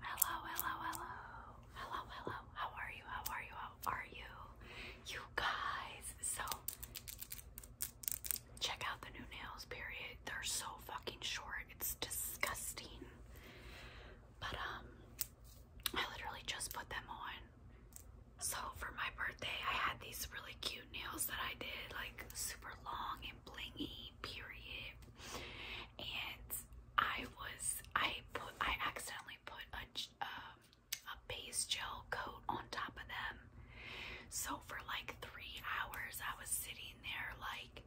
Hello, hello, hello. Hello, hello. How are you? How are you? How are you? You guys. So, check out the new nails, period. They're so fucking short. It's disgusting. But, um, I literally just put them on. So, for my birthday, I had these really cute nails that I did, like super long and blingy period and I was I put I accidentally put a um, a base gel coat on top of them so for like three hours I was sitting there like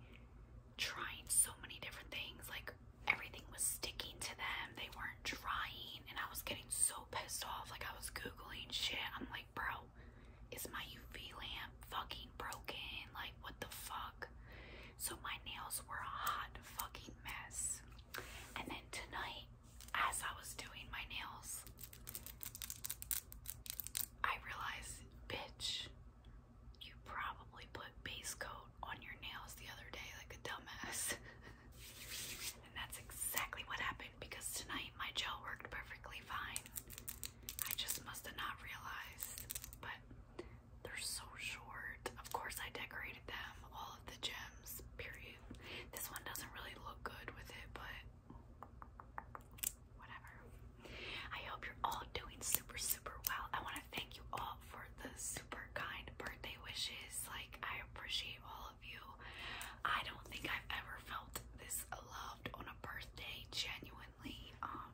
trying so many different things like everything was sticking to them they weren't drying and I was getting so pissed off like I was googling shit I'm like bro is my UV lamp fucking broken like what the fuck so my nails were a hot fucking mess. And then tonight, as I was doing my nails, I realized, bitch, you probably put base coat on your nails the other day like a dumbass. and that's exactly what happened because tonight my gel worked perfectly fine. I just must have not realized. But they're so short. Of course I decorated them, all of the gems, period. This one doesn't really look good with it, but whatever. I hope you're all doing super, super well. I want to thank you all for the super kind birthday wishes. Like, I appreciate all of you. I don't think I've ever felt this loved on a birthday, genuinely. Um,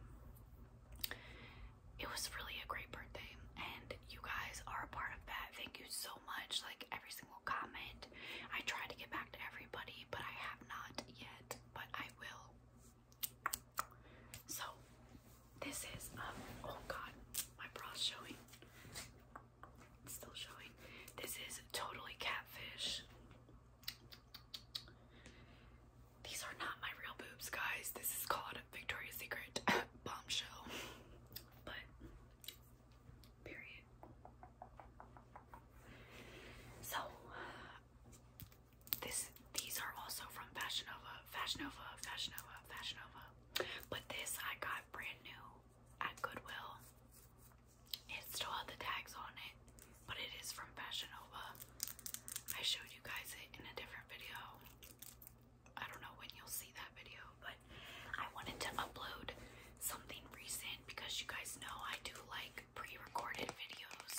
it was really a great birthday, and you guys are a part of that. Thank you so much. Like every single comment, I try to get back to everybody, but I have not yet, but I will. So, this is um. Oh God, my bra's showing. still showing. This is totally catfish. These are not my real boobs, guys. This is called Victoria's Secret Bombshell. But, period. So, this these are also from Fashion Nova, Fashion Nova, But this I got brand new at Goodwill. It still had the tags on it, but it is from Fashion I showed you guys it in a different video. I don't know when you'll see that video, but I wanted to upload something recent because you guys know I do like pre-recorded videos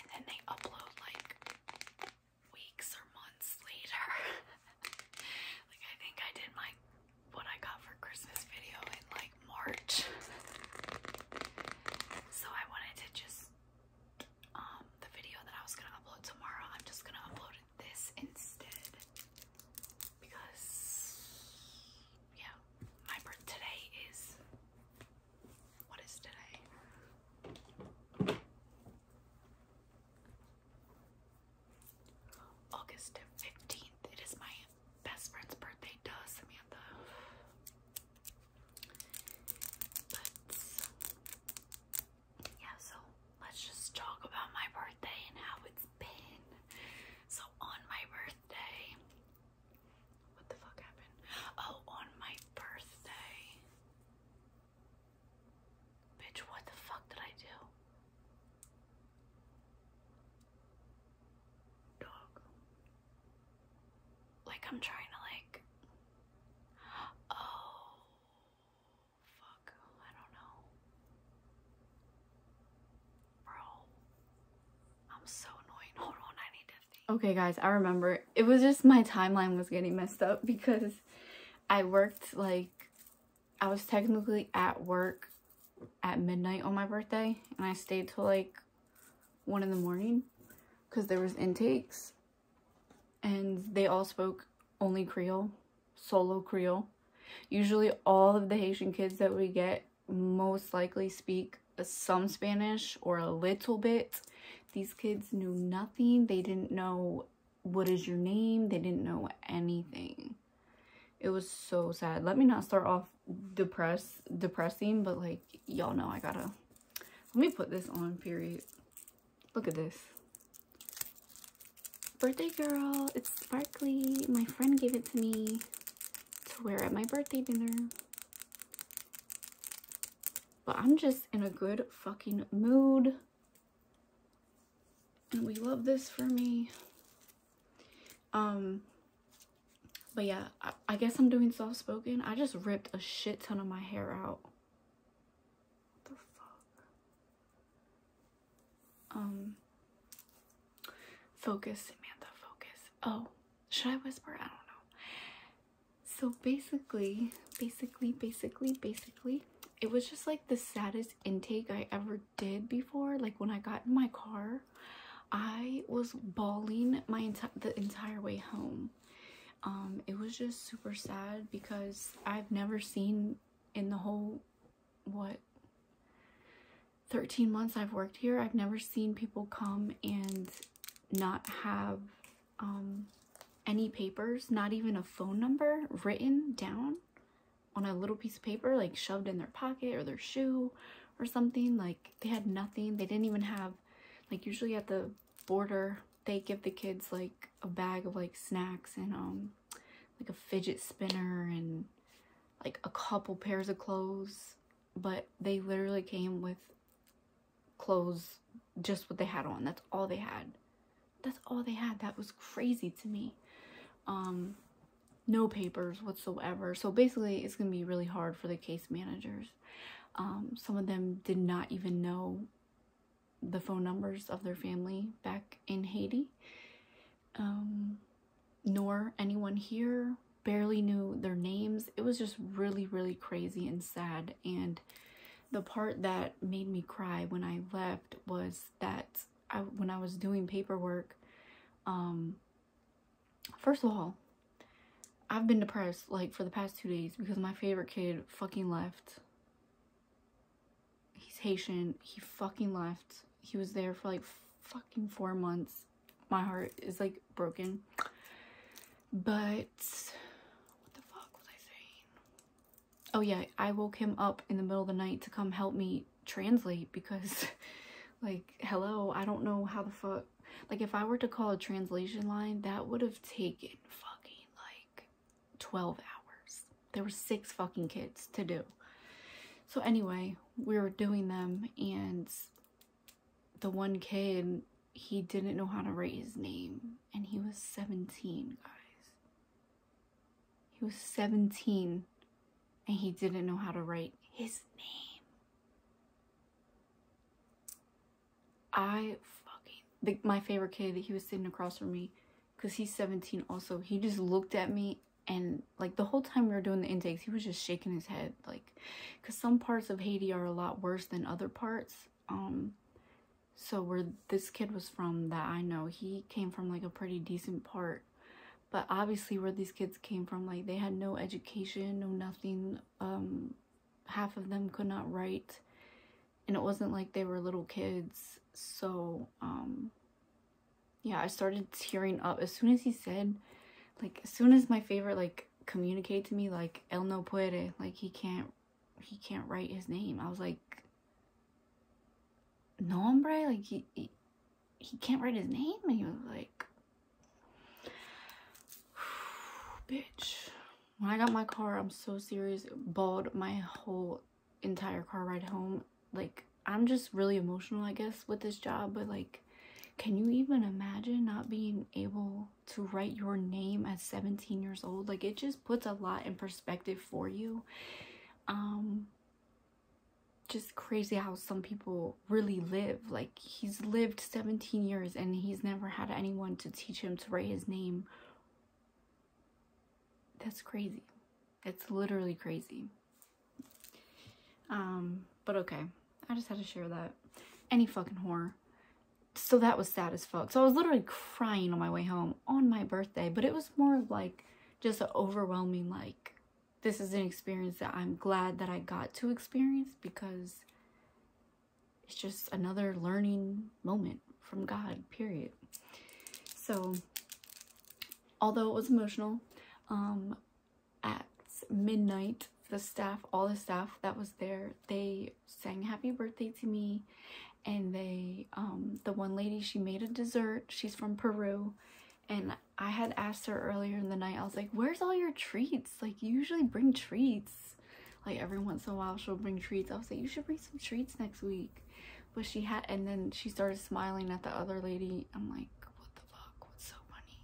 and then they upload like weeks or months later. like I think I did my what I got for Christmas video in like March. so I wanted to just um, the video that I was gonna upload tomorrow. I'm just gonna upload this instead because, yeah, my birth is what is today? August 15th. It is my best friend's birthday, duh, Samantha yeah, so let's just talk about my birthday and how it's been. So on my birthday, what the fuck happened? Oh, on my birthday. Bitch, what the fuck did I do? Dog. Like, I'm trying to, like. Oh. Fuck. I don't know. Bro. I'm so annoying. Hold on, I need to Okay, guys, I remember. It was just my timeline was getting messed up because I worked, like. I was technically at work at midnight on my birthday and I stayed till like one in the morning because there was intakes and they all spoke only Creole, solo Creole. Usually all of the Haitian kids that we get most likely speak some Spanish or a little bit. These kids knew nothing. They didn't know what is your name. They didn't know anything. It was so sad. Let me not start off depressed, depressing, but like y'all know I gotta let me put this on, period. Look at this. Birthday girl, it's sparkly. My friend gave it to me to wear at my birthday dinner. But I'm just in a good fucking mood. And we love this for me. Um, but yeah, I guess I'm doing soft spoken. I just ripped a shit ton of my hair out. Um, focus, Samantha, focus. Oh, should I whisper? I don't know. So basically, basically, basically, basically, it was just like the saddest intake I ever did before. Like when I got in my car, I was bawling my enti the entire way home um, it was just super sad because I've never seen in the whole, what, 13 months I've worked here, I've never seen people come and not have um, any papers, not even a phone number written down on a little piece of paper, like shoved in their pocket or their shoe or something. Like they had nothing. They didn't even have, like usually at the border they give the kids like a bag of like snacks and um like a fidget spinner and like a couple pairs of clothes but they literally came with clothes just what they had on that's all they had that's all they had that was crazy to me um no papers whatsoever so basically it's gonna be really hard for the case managers um, some of them did not even know the phone numbers of their family back in Haiti, um, nor anyone here barely knew their names. It was just really, really crazy and sad. And the part that made me cry when I left was that when I was doing paperwork, um, first of all, I've been depressed, like, for the past two days because my favorite kid fucking left. He's Haitian. He fucking left. He was there for, like, fucking four months. My heart is, like, broken. But... What the fuck was I saying? Oh, yeah. I woke him up in the middle of the night to come help me translate because, like, hello, I don't know how the fuck like if I were to call a translation line, that would have taken fucking like 12 hours. There were six fucking kids to do. So anyway, we were doing them and the one kid, he didn't know how to write his name and he was 17, guys. He was 17 and he didn't know how to write his name. I fucking the, my favorite kid That he was sitting across from me because he's 17 also he just looked at me and like the whole time we were doing the intakes he was just shaking his head like because some parts of haiti are a lot worse than other parts um so where this kid was from that i know he came from like a pretty decent part but obviously where these kids came from like they had no education no nothing um half of them could not write and it wasn't like they were little kids so um, yeah i started tearing up as soon as he said like as soon as my favorite like communicate to me like el no puede like he can't he can't write his name i was like no hombre like he he can't write his name and he was like bitch when I got my car, I'm so serious, bawled my whole entire car ride home. Like, I'm just really emotional, I guess, with this job, but like, can you even imagine not being able to write your name at 17 years old? Like, it just puts a lot in perspective for you. Um, just crazy how some people really live. Like, he's lived 17 years and he's never had anyone to teach him to write his name that's crazy it's literally crazy um but okay i just had to share that any fucking horror so that was sad as fuck so i was literally crying on my way home on my birthday but it was more like just overwhelming like this is an experience that i'm glad that i got to experience because it's just another learning moment from God, period. So, although it was emotional, um, at midnight, the staff, all the staff that was there, they sang happy birthday to me. And they, um, the one lady, she made a dessert. She's from Peru. And I had asked her earlier in the night, I was like, where's all your treats? Like, you usually bring treats. Like every once in a while she'll bring treats. I was like, you should bring some treats next week. But she had, and then she started smiling at the other lady. I'm like, what the fuck? What's so funny?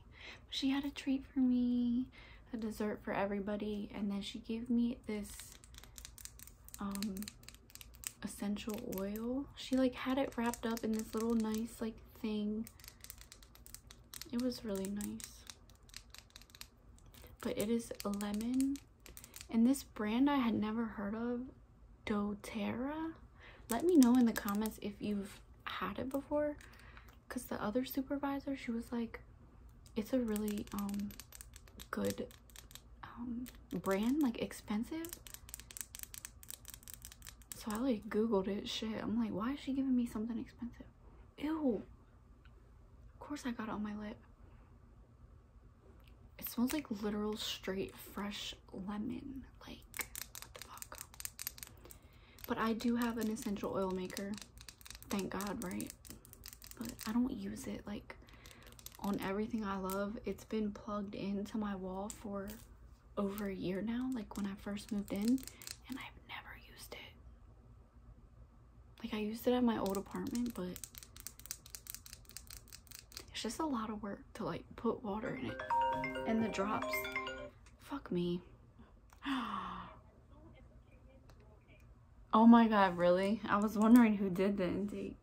But she had a treat for me, a dessert for everybody. And then she gave me this, um, essential oil. She like had it wrapped up in this little nice like thing. It was really nice but it is lemon and this brand i had never heard of doterra let me know in the comments if you've had it before because the other supervisor she was like it's a really um good um brand like expensive so i like googled it shit i'm like why is she giving me something expensive Ew. Of course I got it on my lip. It smells like literal straight fresh lemon. Like, what the fuck? But I do have an essential oil maker. Thank God, right? But I don't use it like on everything I love. It's been plugged into my wall for over a year now, like when I first moved in, and I've never used it. Like I used it at my old apartment, but it's just a lot of work to like put water in it. And the drops, fuck me. Oh my god, really? I was wondering who did the intake.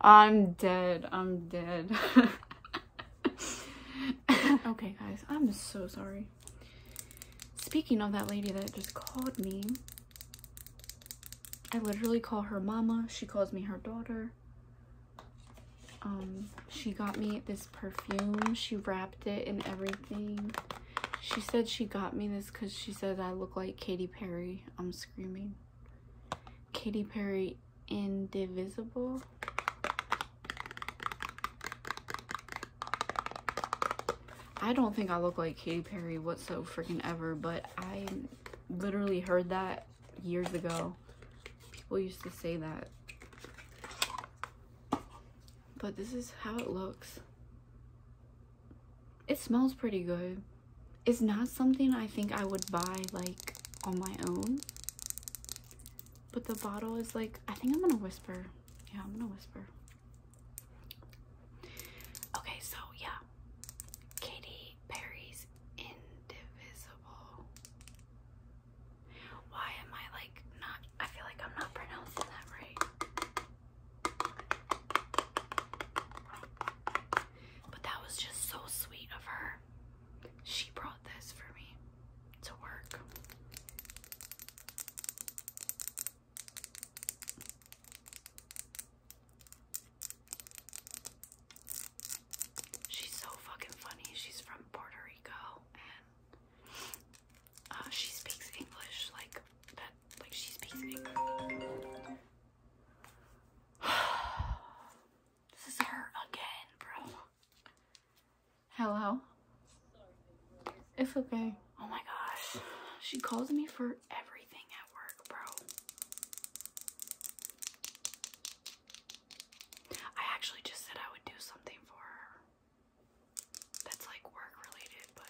I'm dead. I'm dead. okay, guys. I'm so sorry. Speaking of that lady that just called me, I literally call her mama. She calls me her daughter. Um, she got me this perfume. She wrapped it in everything. She said she got me this because she said I look like Katy Perry. I'm screaming. Katy Perry Indivisible. I don't think I look like Katy Perry whatsoever freaking ever, but I literally heard that years ago. People used to say that. But this is how it looks. It smells pretty good it's not something I think I would buy like on my own. But the bottle is like, I think I'm gonna whisper. Yeah, I'm gonna whisper. Okay, so yeah. Katy Perry's Indivisible. Why am I like not, I feel like I'm not pronouncing that right. But that was just so sweet of her. She brought this for me to work. She's so fucking funny. She's from Puerto Rico and uh, she speaks English like that. Like she speaks English. this is her again, bro. Hello? It's okay. Oh my gosh. She calls me for everything at work, bro. I actually just said I would do something for her. That's like work related, but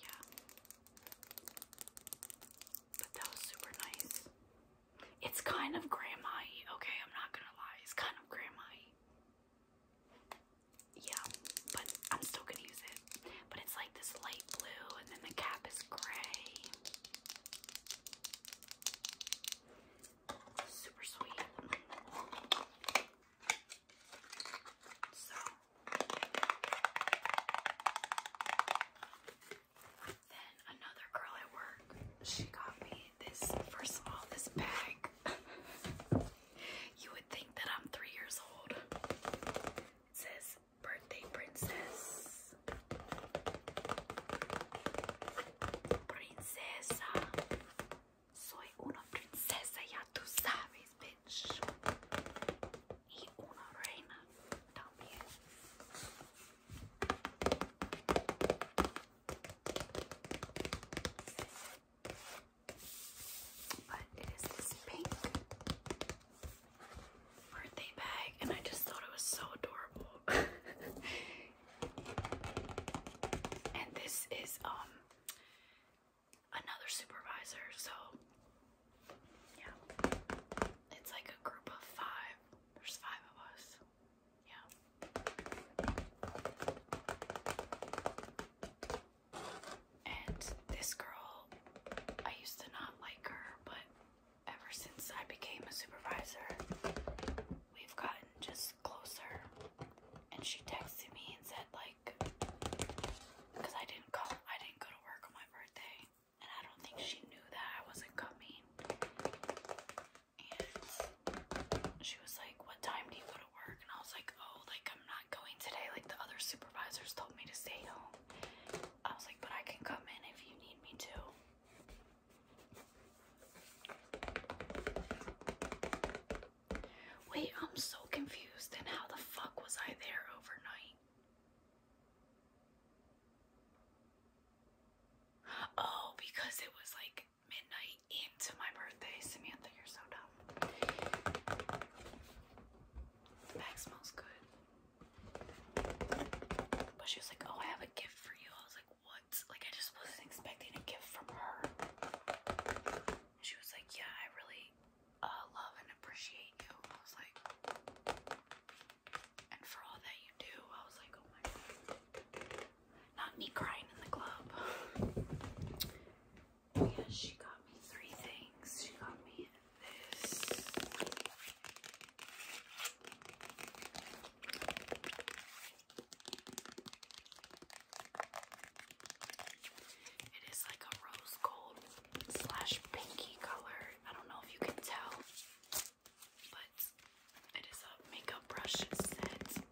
yeah. But that was super nice. It's kind of grandma okay? I'm not gonna lie. It's kind of grandma Yeah, but I'm still gonna use it. But it's like this light blue, and then the cap is gray. Super sweet. So then another girl at work, she got me this first of all, this bag. you would think that I'm three years old. It says birthday princess. Princesa. Soy una princesa, ya tú sabes, baby it is this pink birthday bag, and I just thought it was so adorable. and this is um another supervisor, so yeah. It's like a group of five. There's five of us. Yeah. And this girl, I used to not like her, but ever since I became a supervisor, we've gotten just closer. And she texted me and said, like, because I didn't go I didn't go to work on my birthday and I don't think she knew that I wasn't coming. And she was like, What time do you go to work? And I was like, Oh, like I'm not going today. Like the other supervisors told me to stay home. I was like, But I can come in if you need me to. Wait, I'm so confused. And how the fuck was I there overnight? Oh, because it was like midnight into my birthday. Samantha, you're so dumb. The bag smells good. But she was like, Oh, I have a gift for you. I was like, What? Like, I just wasn't expecting a gift from her. And she was like, Yeah, I really I uh, love and appreciate you. I was like, and for all that you do, I was like, oh my god. Not me crying in the club. Oh, yeah, she got me three things. She got me this. It is like a rose gold slash pinky color. I don't know if you can tell, but it is a makeup brush set.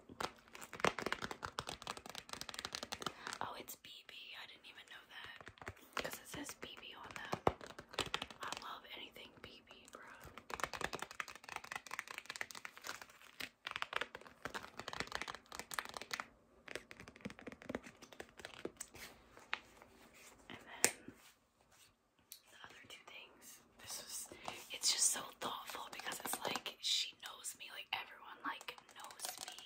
Oh, it's BB. I didn't even know that because it says BB on them. I love anything BB, bro. And then the other two things. This was it's just so thoughtful because it's like she knows me, like everyone like knows me.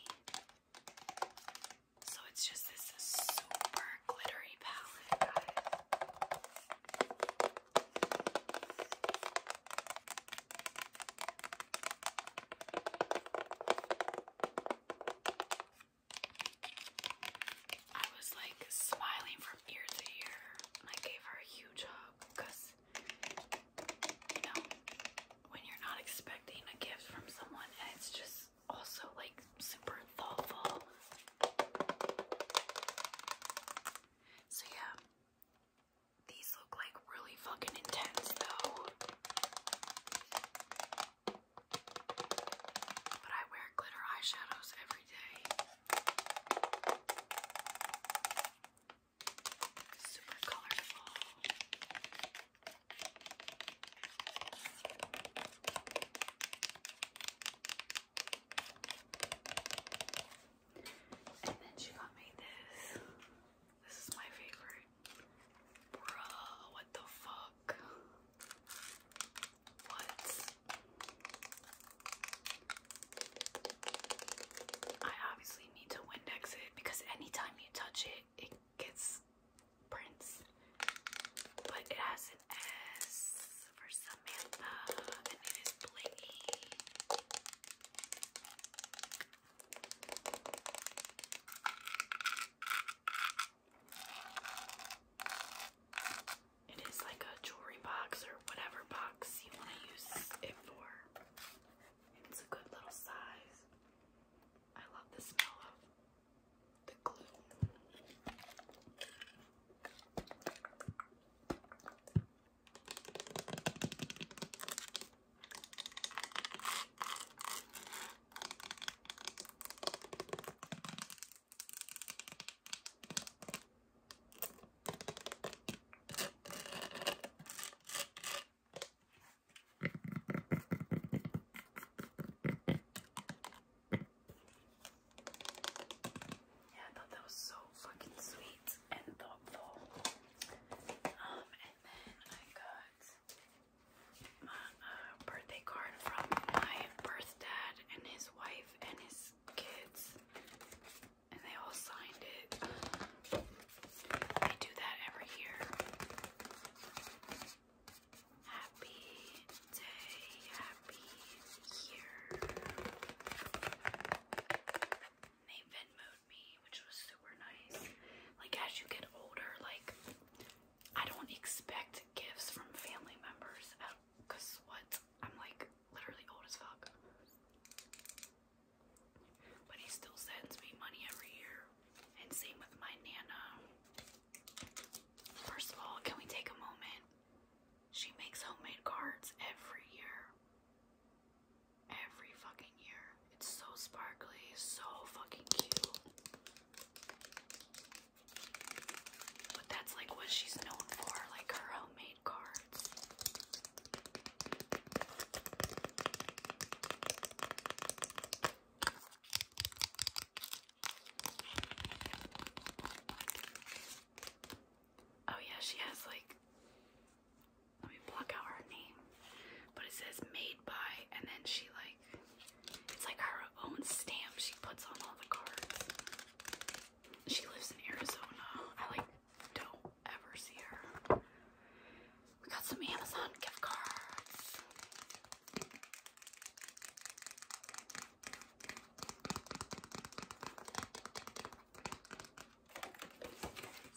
So it's just this super glittery palette, guys. I was like smiling from ear to ear I gave her a huge hug because, you know, when you're not expecting a gift from someone and it's just also like super thoughtful. So, yeah, these look like really fucking intense though. But I wear glitter eyeshadows every day. Super colorful. And then she got me this this is my favorite. Bruh, what the fuck? What? I obviously need to Windex it because anytime you touch it, it gets prints. But it has an S for Samantha and it is blingy. It is like a jewelry box or whatever box you want to use it for. It's a good little size. I love the smell of the glue. Yeah, I thought that was so fucking sweet and thoughtful. Um, and then I got uh, birthday card from my birth dad and his wife and his kids, and they all signed it. I do that every year. Happy day, happy year. They Venmoed me which was super nice. Like as you get older, like I don't expect gifts from family members what? I'm like literally old as fuck. But he still sends me money every year. And same with my nana. First of all, can we take a moment? She makes homemade cards every year. Every fucking year. It's so sparkly, so fucking cute. But that's like what she's known for, like her homemade cards. Oh yeah, she has like let me block out her name. But it says made by and then she like it's like her own stamp she puts on all the cards. She lives in Arizona. I like don't ever see her. We got some Amazon gift cards.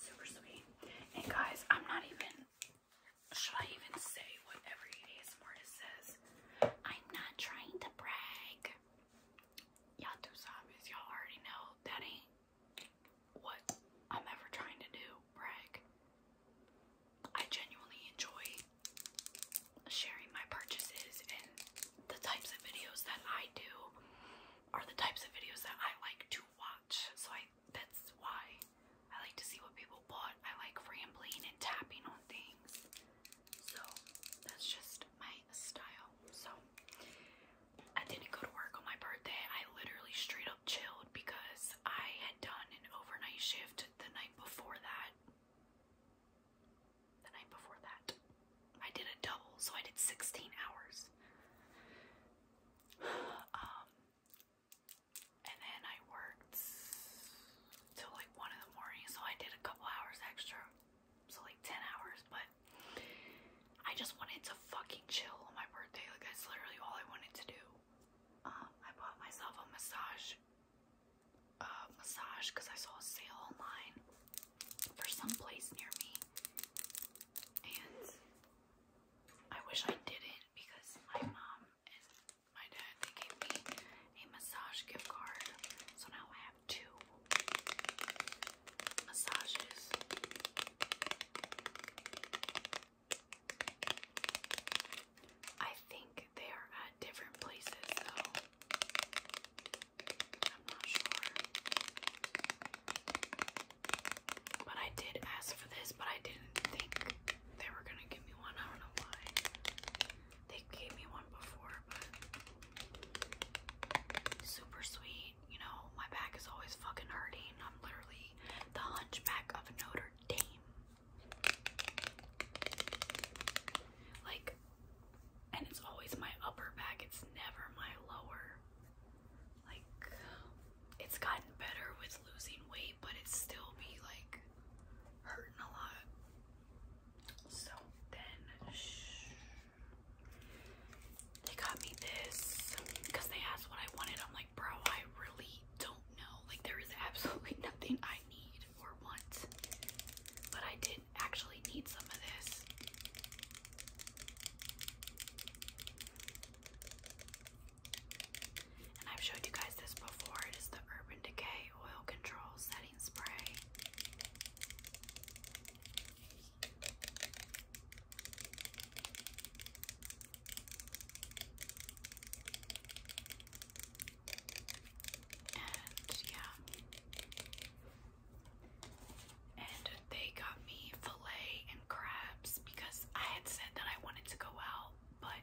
Super sweet. And guys, I'm not even should I even say what every ASMR says? I'm not trying to brag. Y'all do zombies. Y'all already know that ain't what I'm ever trying to do. Brag. I genuinely enjoy sharing my purchases and the types of videos that I do are the types of videos that I like to watch. So I I that's why I like to see what people bought. I like rambling and tapping on things. So that's just my style. So I didn't go to work on my birthday. I literally straight up chilled because I had done an overnight shift the night before that. The night before that. I did a double, so I did 16 hours. Um, and then I worked till like one in the morning, so I did a couple hours extra, so like 10 hours. But I just wanted to fucking chill on my birthday. Like that's literally all I wanted to do. Um, I bought myself a massage, uh, massage because I saw a sale online for some place near me, and I wish I didn't because my mom and my dad they gave me a massage gift card, so now I have two massages. I think they are at different places though. I'm not sure. But I did ask for this, but I didn't think they were gonna give me one. I don't know why. They gave me one before, super sweet. You know, my back is always fucking hurting. I'm literally the hunchback of Notre Dame. Like, and it's always my upper back, it's never my lower like it's gotten better with losing weight, but it's still be like hurting a lot. So then they got me this because they asked what I wanted. I'm like, bro, I really don't know. Like there is absolutely nothing I need or want. But I did actually need some of this. And I've showed you guys this before. It is the Urban Decay Oil Control Setting Spray. And yeah. And they got me filet and crabs because I had said that I wanted to go out but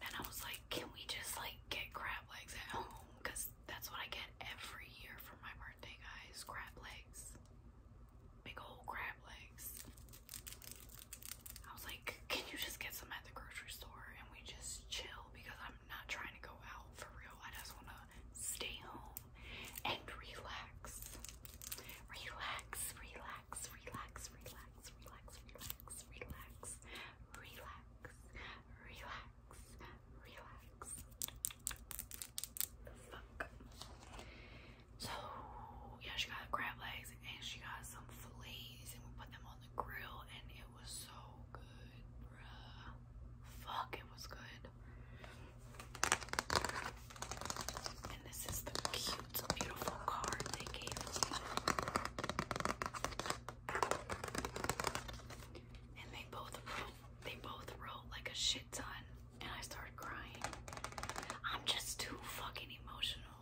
then I was like, can we just like get crab legs at home? Because that's what I get every year for my birthday, guys. Crab legs. Big old crab legs. I was like, can you just get some at the grocery store and we just chill? Because I'm not trying to go out for real. I just want to stay home and relax. Relax, relax relax, relax, relax, relax, relax, relax, relax, relax, relax. So yeah, she got crab legs and she got some fillets and we put them on the grill and it was so good, bruh. Fuck, it was good. And this is the cute, beautiful card they gave me. And they both wrote, they both wrote like a shit ton. And I started crying. I'm just too fucking emotional.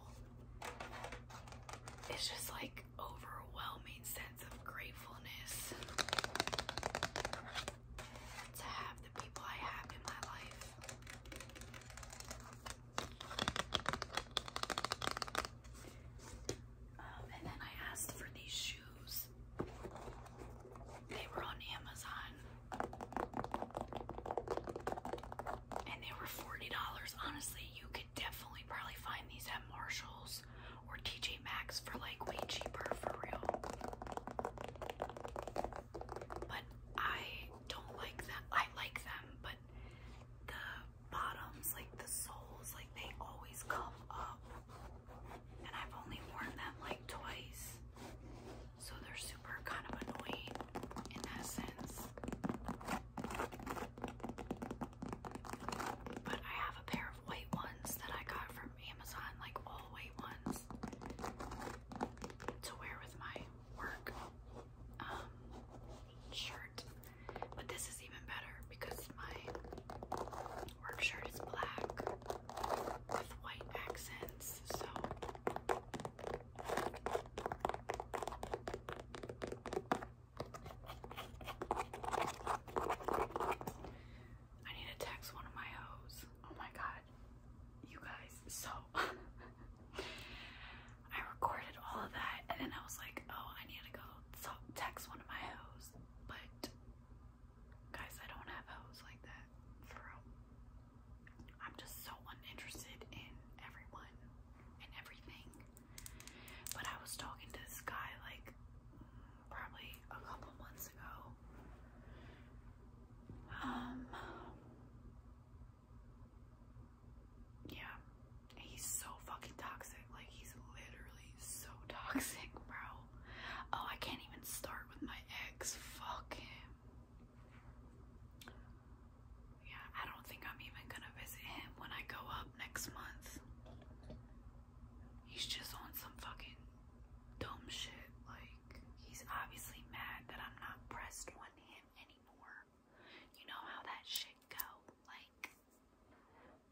It's just like overwhelming sense of gratefulness to have the people I have in my life. Um, and then I asked for these shoes. They were on Amazon. And they were $40. Honestly, you could definitely probably find these at Marshall's or TJ Maxx for like way cheaper for real. But I don't like them. I like them, but the bottoms, like the soles, like they always come up. And I've only worn them like twice. So they're super kind of annoying in that But I have a pair of white ones that I got from Amazon, like all white ones, to wear with my work um, shirt. But this is even better because my work shirt is black with white accents. So I need to text one of my hoes. Oh my god, you guys, so I recorded all of that and then I was like, oh, I need to go text one of my hoes, but guys, I don't have hoes like that, I'm just so uninterested in everyone and everything, but I was talking to this guy like probably a couple months ago. Um, yeah. He's so fucking toxic. Like, he's literally so toxic, bro. Oh, I can't even start with my ex. Fuck him. Yeah, I don't think I'm even gonna visit him when I go up next month. He's just on some fucking dumb shit. Like, he's obviously mad that I'm not pressed one him anymore. You know how that shit go, like.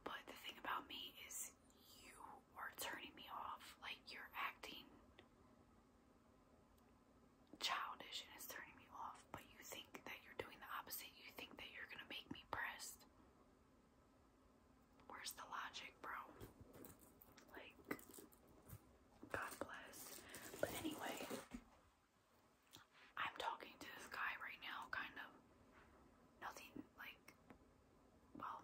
But the thing about me is, you are turning me off. Like you're acting childish and it's turning me off. But you think that you're doing the opposite. You think that you're gonna make me press. Where's the logic, bro? Like, God bless. But anyway, I'm talking to this guy right now, kind of. Nothing like, well,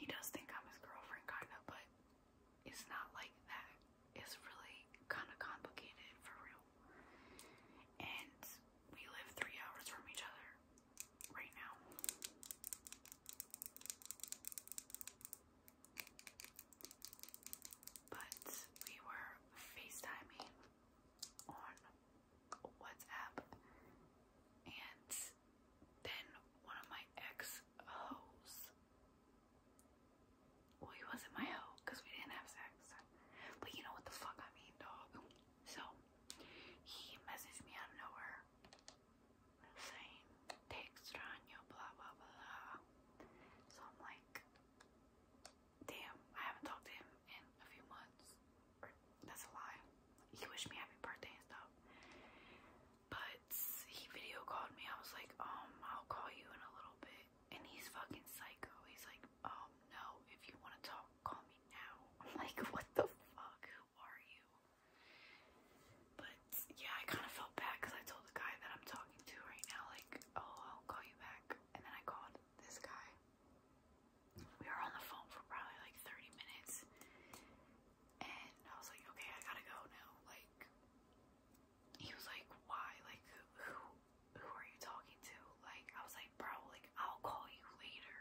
he does think I'm his girlfriend, kind of, but it's not like that. It's really kind of complicated for real. And we live three hours from each other right now. But we were FaceTiming on WhatsApp, and then one of my ex hoes. Well, he wasn't my hoe because we didn't have sex. But you know what the fuck I mean, dog. So he messaged me out of nowhere saying, te extraño, blah blah blah. So I'm like, damn, I haven't talked to him in a few months. that's a lie. He wished me happy birthday and stuff. But he video called me. I was like, um, I'll call you in a little bit. And he's fucking psycho. He's like, um, no, if you want to talk, call me now. I'm like, what the fuck? Who are you? But yeah, I kind of felt bad because I told the guy that I'm talking to right now, like, oh, I'll call you back. And then I called this guy. We were on the phone for probably like 30 minutes. And I was like, okay, I gotta go now. Like, he was like, why? Like, who, who are you talking to? Like, I was like, bro, like, I'll call you later.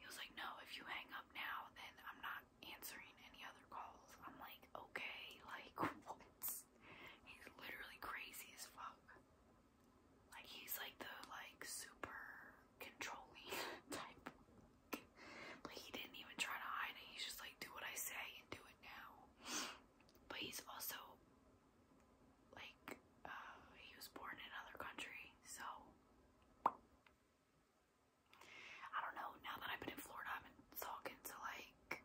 He was like, no, if you hang up now, then I'm not answering any other calls. I'm like, okay, like, He's literally crazy as fuck. Like he's like the like super controlling type. But he didn't even try to hide it. He's just like do what I say and do it now. But he's also like uh he was born in another country, so I don't know, now that I've been in Florida I've been talking to like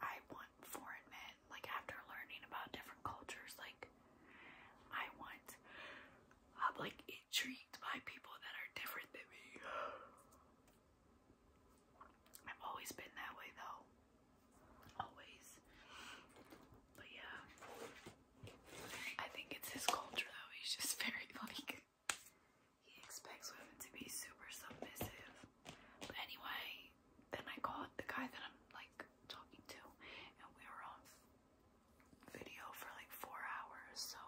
I want foreign men. Like after learning about different cultures, like I want I'm like intrigued by people that are different than me. I've always been that way though. Always. But yeah. I think it's his culture though. He's just very like he expects women to be super submissive. But anyway, then I called the guy that I'm like talking to, and we were on video for like four hours. So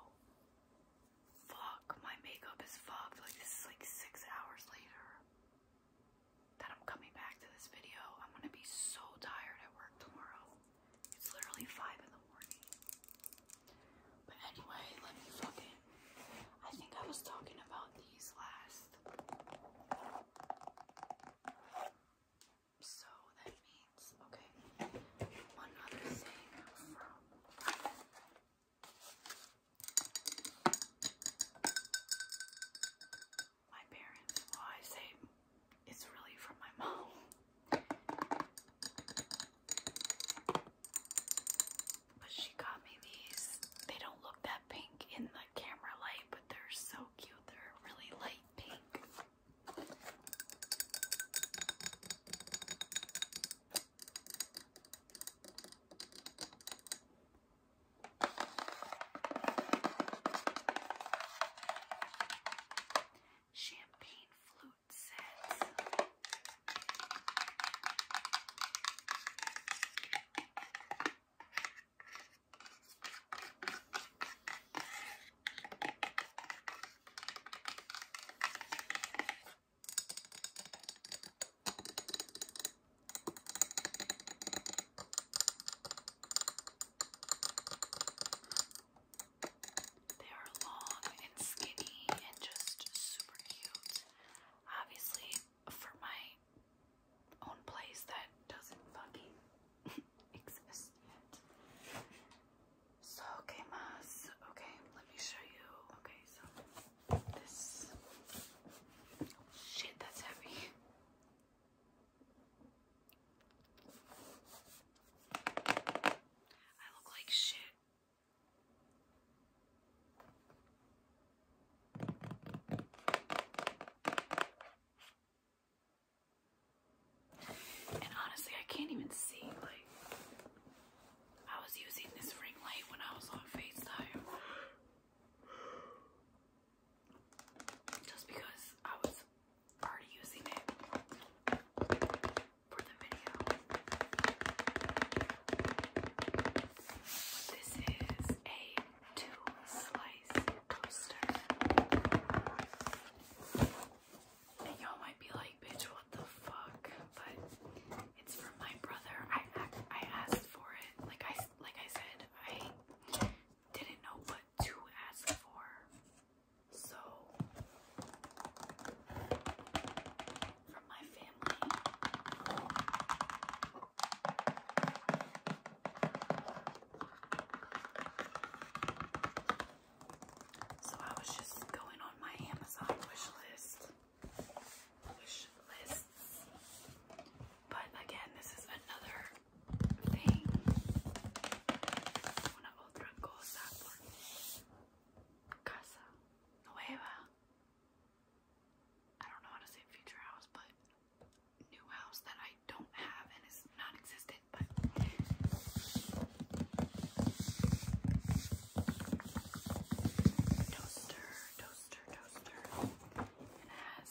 fuck, my makeup is fucked. Like this is like six hours later that I'm coming back to this video. I'm gonna be so tired at work tomorrow. It's literally five in the morning. But anyway, let me fucking. I think I was talking about these last. So that means, okay. One other thing from. My parents, well, I say it's really from my mom. But she got me these. They don't look that pink in the camera light, but they're so cute. They're really light pink. Champagne flute sets. They are long and skinny and just super cute obviously for my own place that doesn't fucking exist yet. So okay, mas. Okay, let me show you. Okay, so this shit that's heavy. I look like shit. And honestly, I can't even see. Like, I was using this ring light when I was on FaceTime. Just because I was already using it for the video. This is a two-slice toaster. y'all might be like, bitch, what the fuck? But it's from my brother. I I asked for it. Like I like I said, I didn't know what to ask for. So from my family. So I was just going on my Amazon wish list. But again, this is another thing. casa nueva. I don't know how to say future house, but new house that I don't have and is non existent, but toaster, toaster, toaster. it has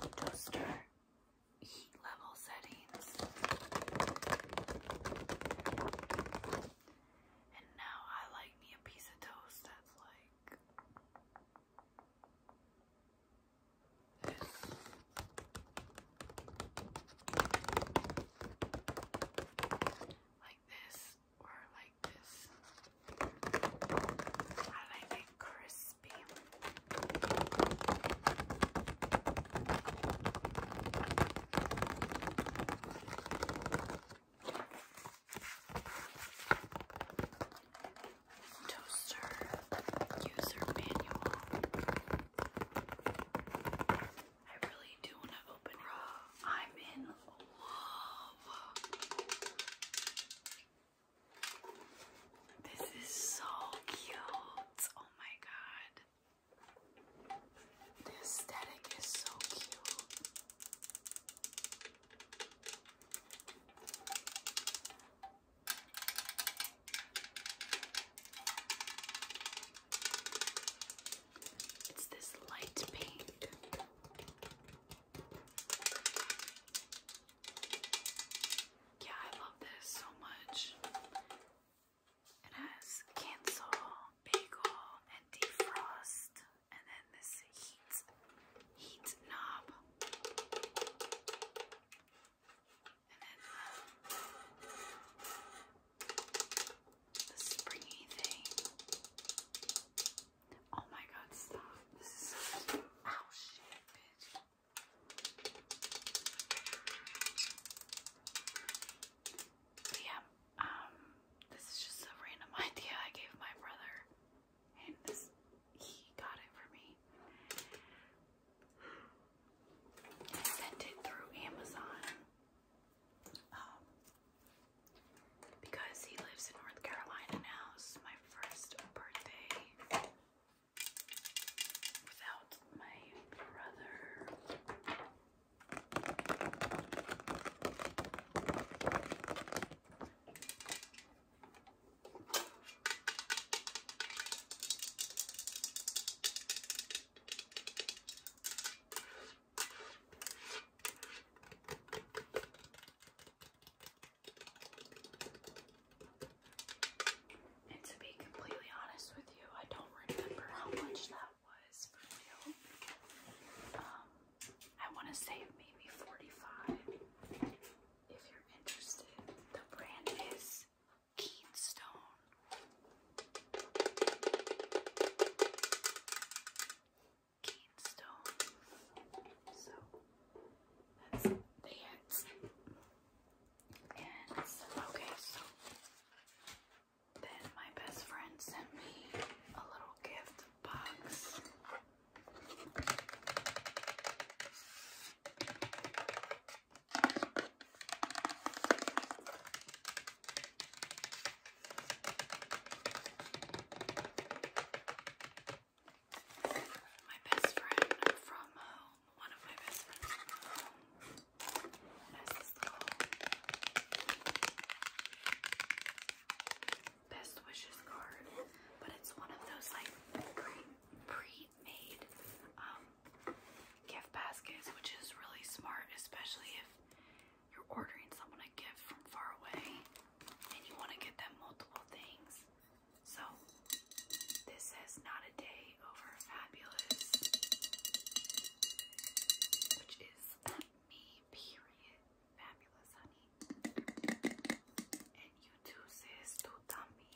toaster heat level settings. And now I like me a piece of toast that's like this. Like this or like this. I like it crispy. Toaster user manual. I really do want to open it. I'm in love. This is so cute. Oh my god. The aesthetic is so cute. It's this light pink. Yeah, I love this so much. It has cancel, bagel, and defrost, and then this heat heat knob. And then uh, the, springy thing. Oh my god, stop. This is Ow, oh, shit, bitch. yeah, um, this is just a random idea I gave my brother, and this he got it for me. I sent it through Amazon um, because he lives in North Carolina now. This my first birthday without my brother. And to be completely honest with you, I don't remember how much that was for real. Um, I want to say maybe 45 if you're interested. The brand is Keenstone. Keenstone. So that's that. And okay, so then my best friend sent me a little gift box. My best friend from one of my best friends from home, Best wishes card, but it's one of those like pre-made um, gift baskets, which is really smart, especially if you're ordering someone a gift from far away and you want to get them multiple things. So this says not a day over fabulous, which is me, period. Fabulous, honey. And you too, sis. Too dummy.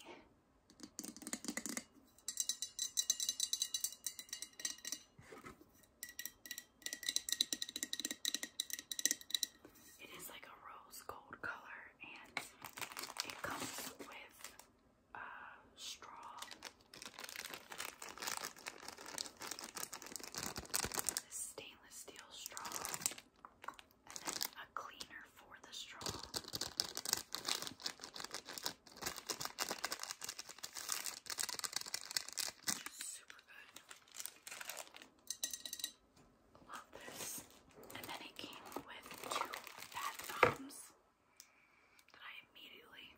It is like a rose gold color and it comes with uh, straw this stainless steel straw, and a cleaner for the straw. Super good. Love this. And then it came with two bath bombs that I immediately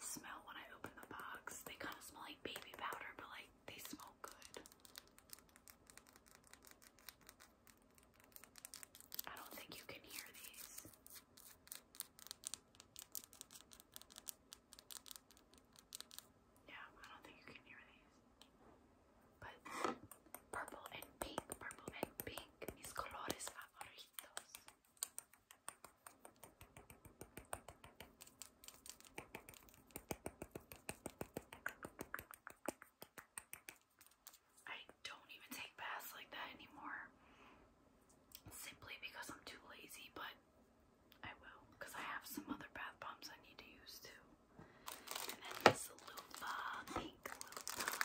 smell when I open the box. They kind of smell like baby powder, but like they smell good. I don't think you can hear these. Yeah, I don't think you can hear these. But purple and pink, purple and pink. Mis colores favoritos. I don't even take baths like that anymore simply because I'm too lazy, but I will because I have some other bath bombs I need to use too. And then this loofah, pink loofah.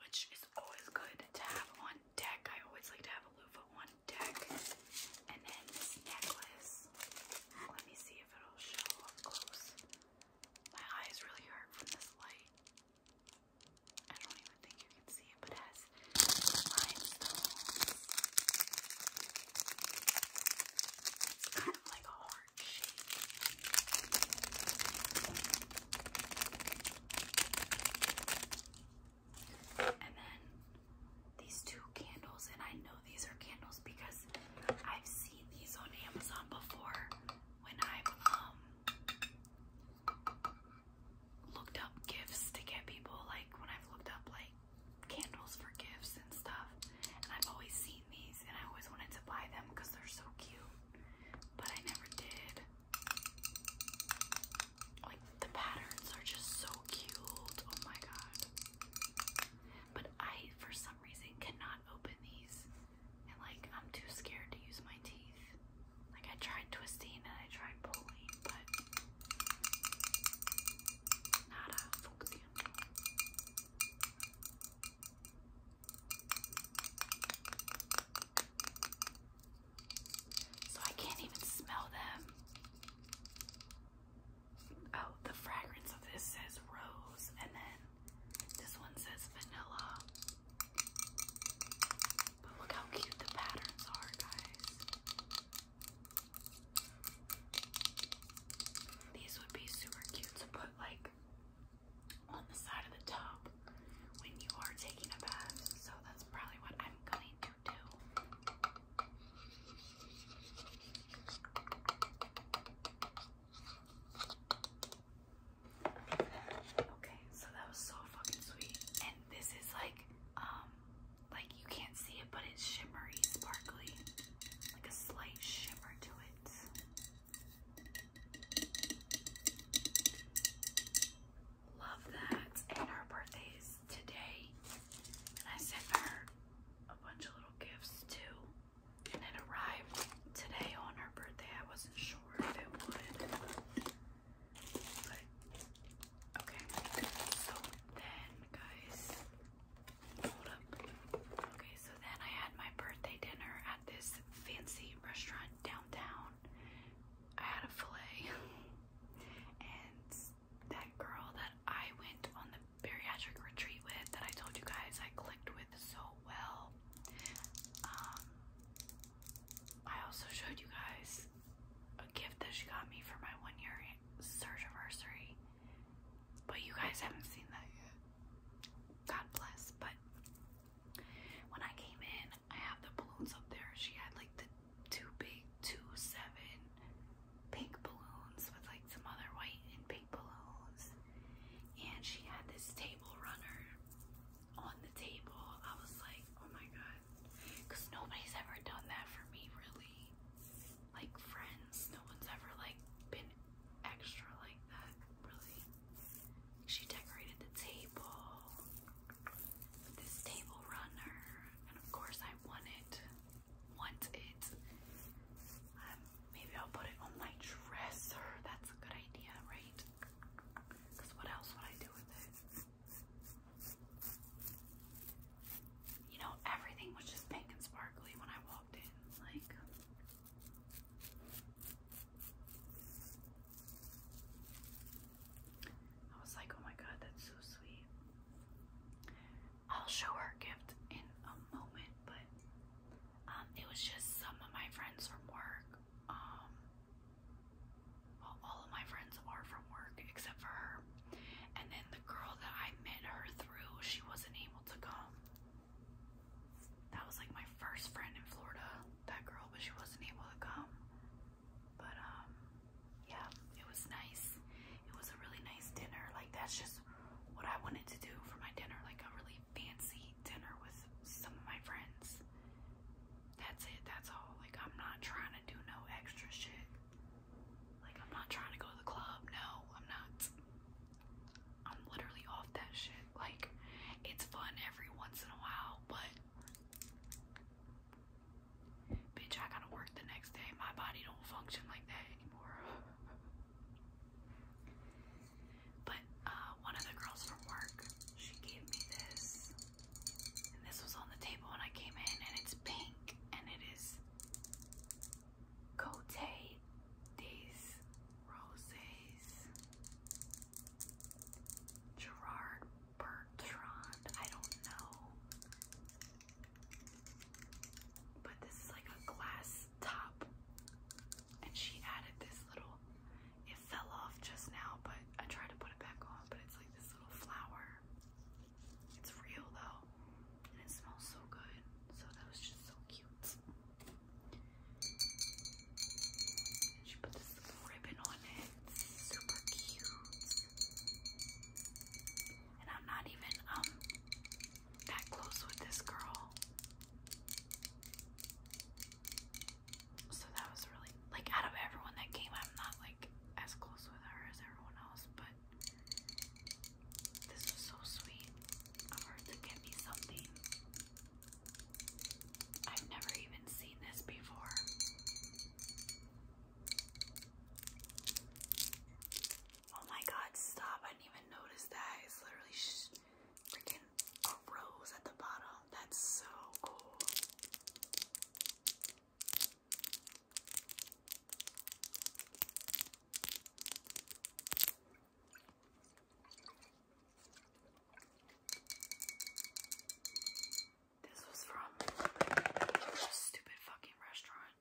Which is always good to have on deck. I always like to have a loofah on deck. And then this necklace. Let me see if it'll show up close. My eyes really hurt from this light. I don't even think you can see it, but has limestones. It's kind of like a heart shape. And then these two candles, and I know these are candles because I've seen these on Amazon before when i am um looked up gifts to get people, like when I've looked up like candles for gifts and stuff, and I've always seen these and I always wanted to buy them because they're so cute, but I never did. Like the patterns are just so cute. Oh my god. But I, for some reason, cannot open these, and like I'm too scared to use my teeth. Like I tried twisting and I tried pulling, but nada funcionó. So I can't even smell them. Oh, the fragrance of this says rose, and then this one says vanilla. But look how cute the patterns are, guys. These would be super cute to put like on the side of the tub when you are taking a bath. So that's probably what I'm going to do. Okay, so that was so fucking sweet. And this is like um, like you can't see it, but it's shimmery, sparkly, like a slight shimmer to it. Love that. And her birthday is today. And I sent her a bunch of little gifts too. And it arrived today on her birthday. I wasn't sure if it would okay. So then guys hold up. Okay, so then I had my birthday dinner at this fancy restaurant downtown. I had a filet and that girl that I went on the bariatric retreat with that I told you guys I clicked with so well. Um, I also showed you guys a gift that she got me for my one year search anniversary, but you guys haven't seen that yet. God bless. But when I came in, I have the balloons up there. She had like the two big, two seven pink balloons with like some other white and pink balloons, and she had this table runner on the table. I was like, oh my god. Because nobody's ever done that for me, really. Like, friends, no one's ever, like, been extra like that, really. She decorated the table with this table runner, and of course, I want it. Want it. Um, maybe I'll put it on my dresser. That's a good idea, right? Because what else would I do with it? You know, everything was just pink and sparkly when I walked in. Like, I was like, oh my god, that's so sweet. I'll show her gift in a moment, but um, it was just some of my friends from work. Um, all of my friends are from work except for her. And then the girl that I met her through, she wasn't able to come. That was like my first friend in Florida, that girl, but she wasn't able to come. But um yeah, it was nice. It was a really nice dinner. Like that's just what I wanted to do for my dinner, like a really fancy dinner with some of my friends. That's it. That's all. Like, I'm not trying to do no extra shit. Like, I'm not trying to go to the club. No, I'm not. I'm literally off that shit. Like, it's fun every once in a while, but. Bitch, I gotta work the next day. My body don't function like that anymore. but uh, one of the girls from work, she gave me this and this was on the table when I came in, and it's pink, and it is Cote des Roses. Gerard Bertrand, I don't know. But this is like a glass top. And she added this little, it fell off just now, but I tried to put it back on, but it's like this little flower. It's real though, and it smells so good. So that was just so cute. she put this ribbon on it. Super cute. And I'm not even um that close with this girl so that was really like out of everyone that came I'm not like as close with her as everyone else but this was so sweet of her to get me something I've never even seen this before oh my god stop I didn't even notice that it's literally freaking a rose at the bottom that's so cool this was from stupid fucking restaurant.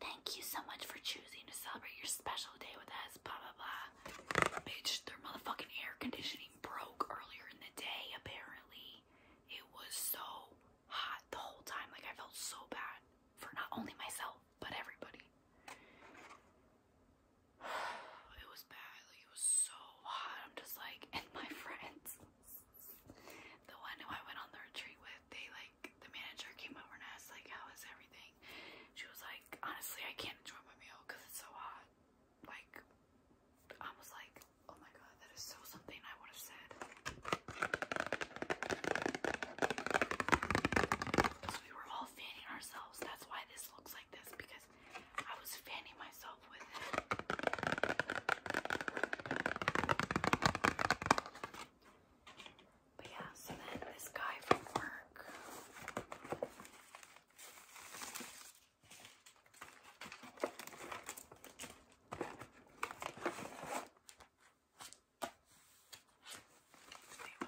Thank you so much for choosing to celebrate your special day with us. Blah blah blah bitch, their motherfucking air conditioning broke earlier in the day, apparently. It was so hot the whole time. Like, I felt so bad for not only myself, but everybody. It was bad. it was so hot. I'm just like, and my friends, the one who I went on the retreat with, they like, the manager came over and asked, like, how was everything? She was like, honestly, I can't enjoy my meal because it's so hot like almost like oh my god that is so something I would have said. we were all fanning ourselves. That's why this looks like this because I was fanning myself with it. But yeah, so then this guy from work Wait, what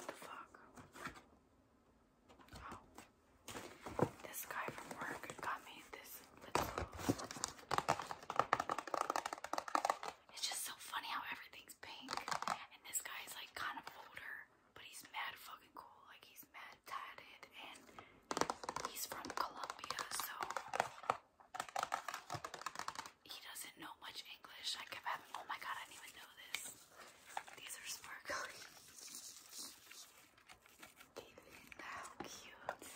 the fuck? Oh. This guy from work got me this It's just so funny how everything's pink. And this guy's like kind of older but he's mad fucking cool. Like he's mad tatted, and he's from Colombia, so he doesn't know much English. I keep having, oh my god, I didn't even know this. These are sparkly. How cute.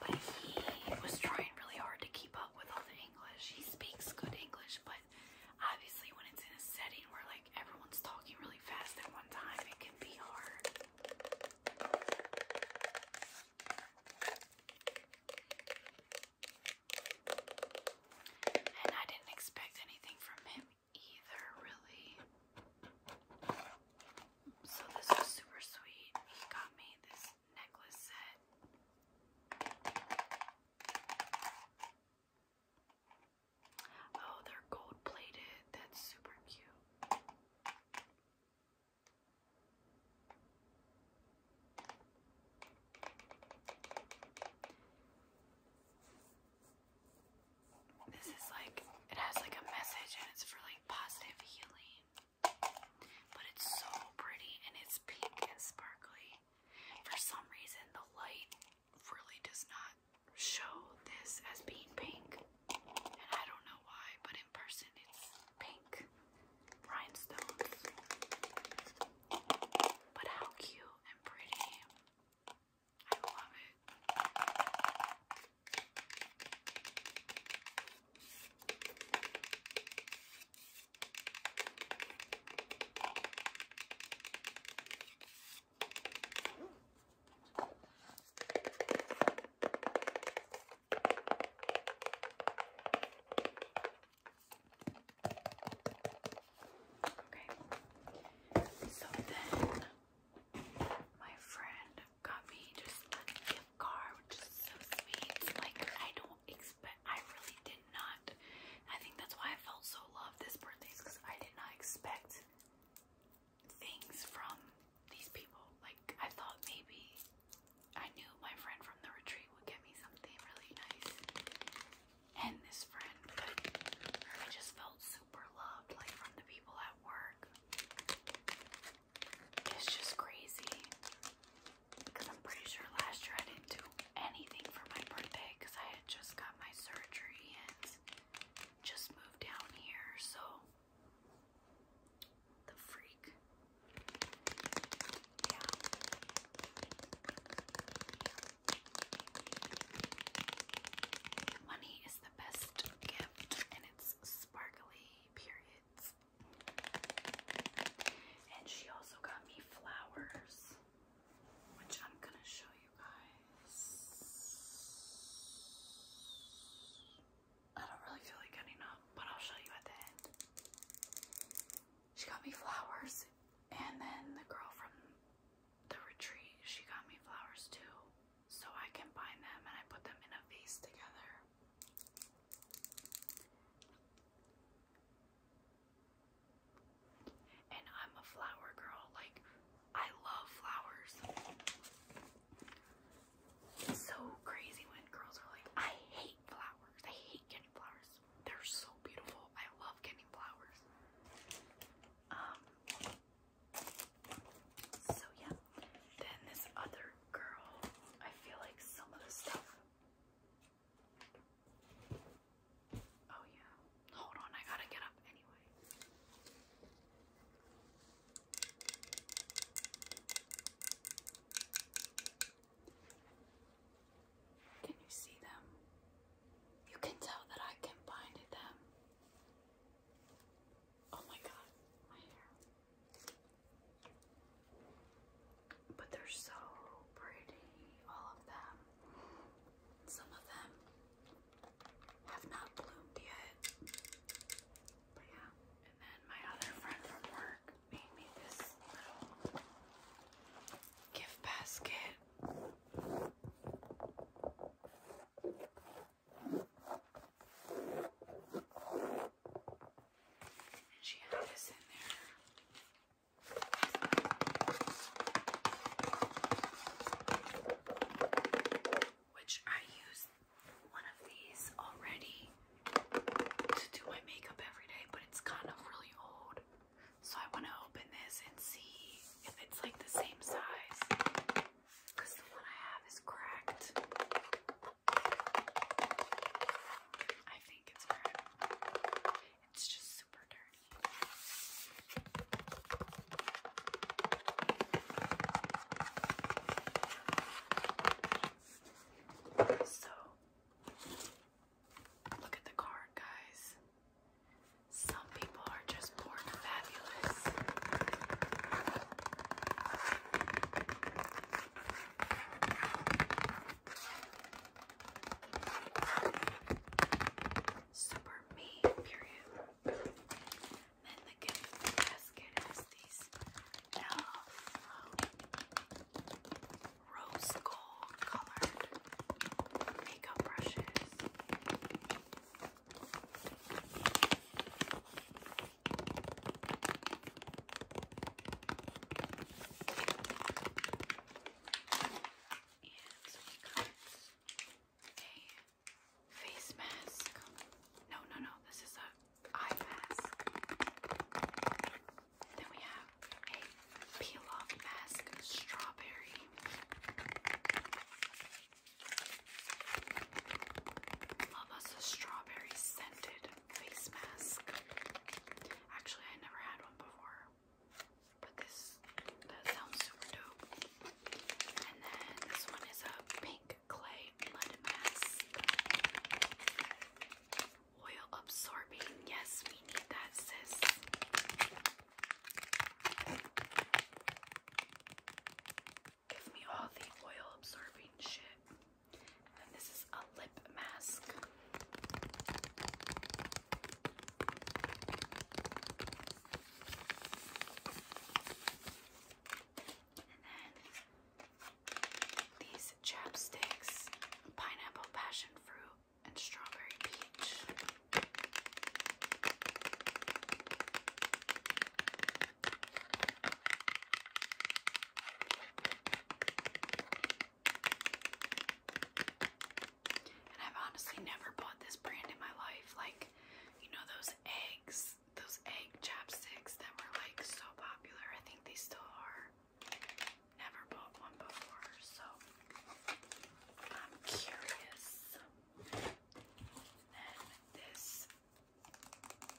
But he was trying really hard to keep up with all English. He speaks good English, but obviously when it's in a setting where like everyone's talking really fast at one time, it can be hard. And I didn't expect anything from him either, really. So this was super sweet. He got me this necklace set. Oh, they're gold plated. That's super cute. This is like, it has like a message and it's for like positive healing. But it's so pretty and it's pink and sparkly. For some reason, the light really does not show this as being pink. And I don't know why, but in person it's pink rhinestones. But how cute and pretty. I love it. Okay, so then my friend got me just a gift card, which is so sweet. Like I don't I really did not. I think that's why I felt so loved this birthday is because I did not expect things from these people. Like, I thought maybe I knew my friend from the retreat would get me something really nice. And this friend, but I just felt super loved, like from the people at work. It's just crazy. Because I'm pretty sure last year I didn't do anything for my birthday because I had just got my surgery and just moved down here. So, the freak. Yeah. Money is the best gift and it's sparkly, periods. And she also got me flowers, which I'm going to show you guys. I don't really feel like getting up, but I'll show you at the end. She got me flowers, and then the girl from the retreat, she got me flowers too. So I combined them and I put them in a vase together. And I'm a flower girl. Like, I love flowers. so crazy when girls are like, I hate flowers. I hate getting flowers. They're so beautiful. I love getting flowers. Um, so yeah. Then this other girl, I feel like some of the stuff Oh, yeah. Hold on, I gotta get up anyway. Can you see them? You can tell that I can them. Oh my god, my hair. But they're so pretty, all of them. Some of them have not bloomed yet. But yeah. And then my other friend from work made me this little gift basket. And she had this in there. Which I use one of these already to do my makeup every day, but it's kind of really old. So I want to open this and see if it's like the same size. Because the one I have is cracked. I it's just super dirty. So, look at the card, guys. Some people are just born fabulous. Super me, period. Then the gift basket is these rose gold colored makeup brushes. And we got a face mask. No, no, no, this is a eye mask. Then we have a peel-off mask strawberry. Love us a strawberry scented face mask. Actually, I never had one before, but this that sounds super dope. And then this one is a pink clay mud mask, oil absorbing. Yes, we need that, sis. Give me all the oil absorbing shit. And this is a lip mask. And then these chapsticks, pineapple, passion fruit, and strawberry peach. And I've honestly never bought this brand in my life. Like, you know those eggs, those egg chapsticks that were like so popular. I think they still are. Never bought one before, so I'm curious. And this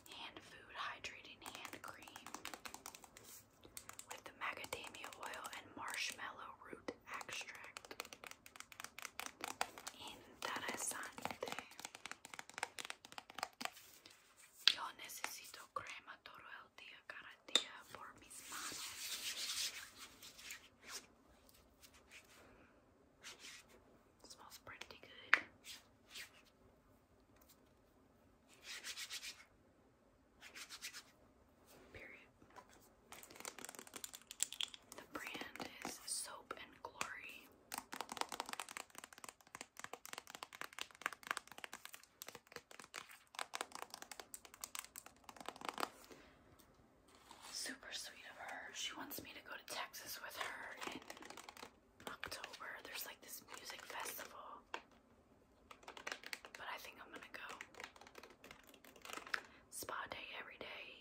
hand food hydrating hand cream with the macadamia oil and marshmallow root extract. Interesante. Yo necesito crema todo el día, cada día por mis manos. smells pretty good. Period. The brand is Soap and Glory. Super sweet of her. She wants me to go to Texas with her in October. There's like this music festival. But I think I'm gonna go spa day every day,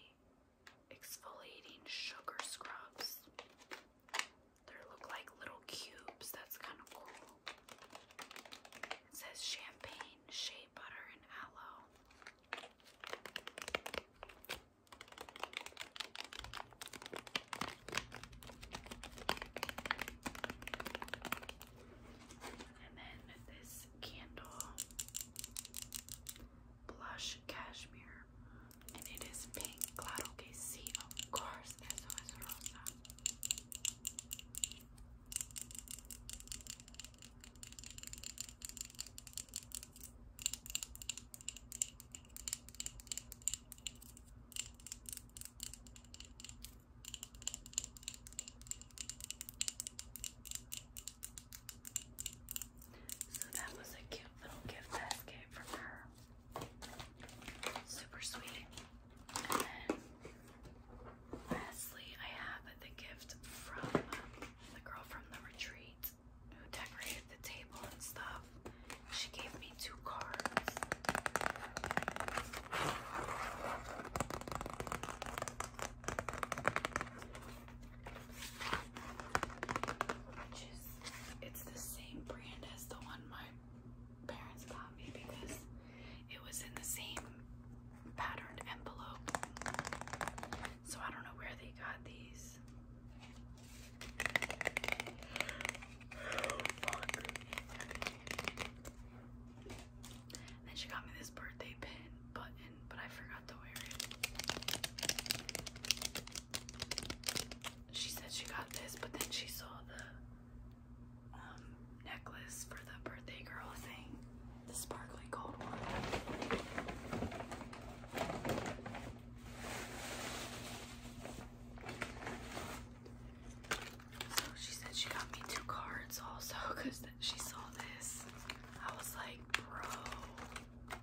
exfoliating sugar scrubs. They look like little cubes, that's kind of cool. It says champagne, shea butter, and aloe. And then this candle blush cashmere. And it is pink. Claro que sí, of course. Eso es rosa. So that was a cute little gift basket from her. Super sweet. And then lastly, I have the gift from um, the girl from the retreat who decorated the table and stuff. She gave it's the same brand as the one my parents got me because it was in the same patterned envelope. So I don't know where they got these. Oh, and she got me this birthday pin button, but I forgot to wear it. She said she got this, but then she saw the um, necklace for the birthday girl thing, the sparkly gold one. So she said she got me two cards also because she saw this. I was like, bro,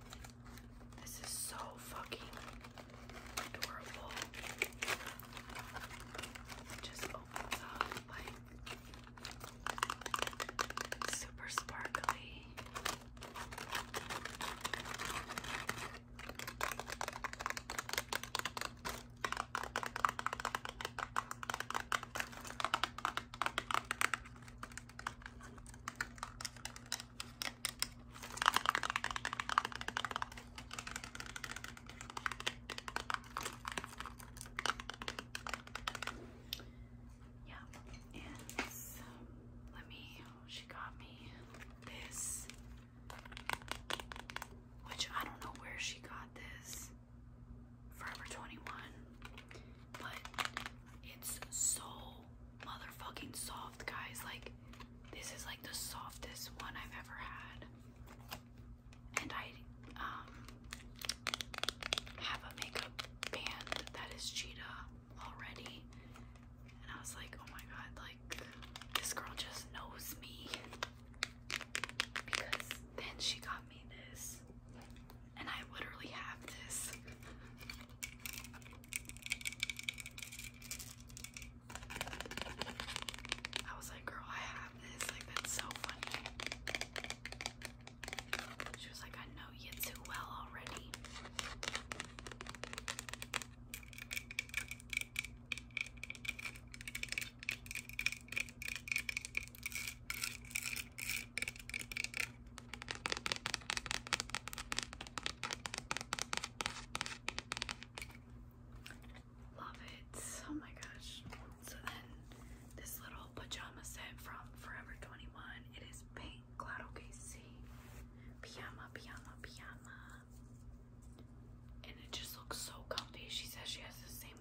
this is so fucking adorable. just opens up like super sparkly. Yeah, and let me. Oh, she got me this which I don't know where she got this. Forever 21. But it's so motherfucking soft, guys. Like, this is like the softest one I've ever had. And I um have a makeup band that is cheetah already. And I was like, oh my god, like this girl just knows me because then she got me this, and I literally have this. I was like, girl, I have this. Like, that's so funny. She was like, I know you too well already. Love it. Oh my gosh. So then this little pajama set from Forever 21. It is pink. Glad okay. See, pajama, pajama, pajama and it just looks so comfy. She says she has the same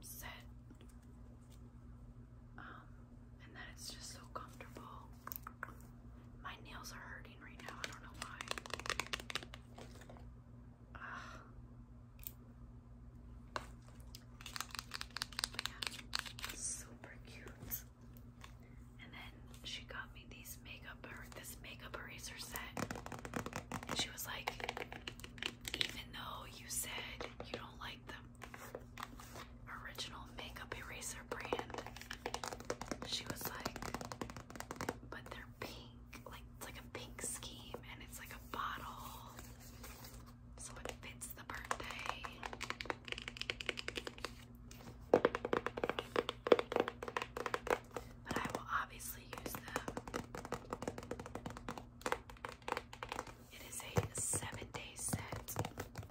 set, um, and then it's just so comfortable. My nails are hurting right now. I don't know why. Uh, super cute. And then she got me these makeup this makeup eraser set, she was like, even though you said you don't like the original makeup eraser brand, she was like, but they're pink, like it's like a pink scheme, and it's like a bottle, so it fits the birthday but I will obviously use them. It is a seven day set. And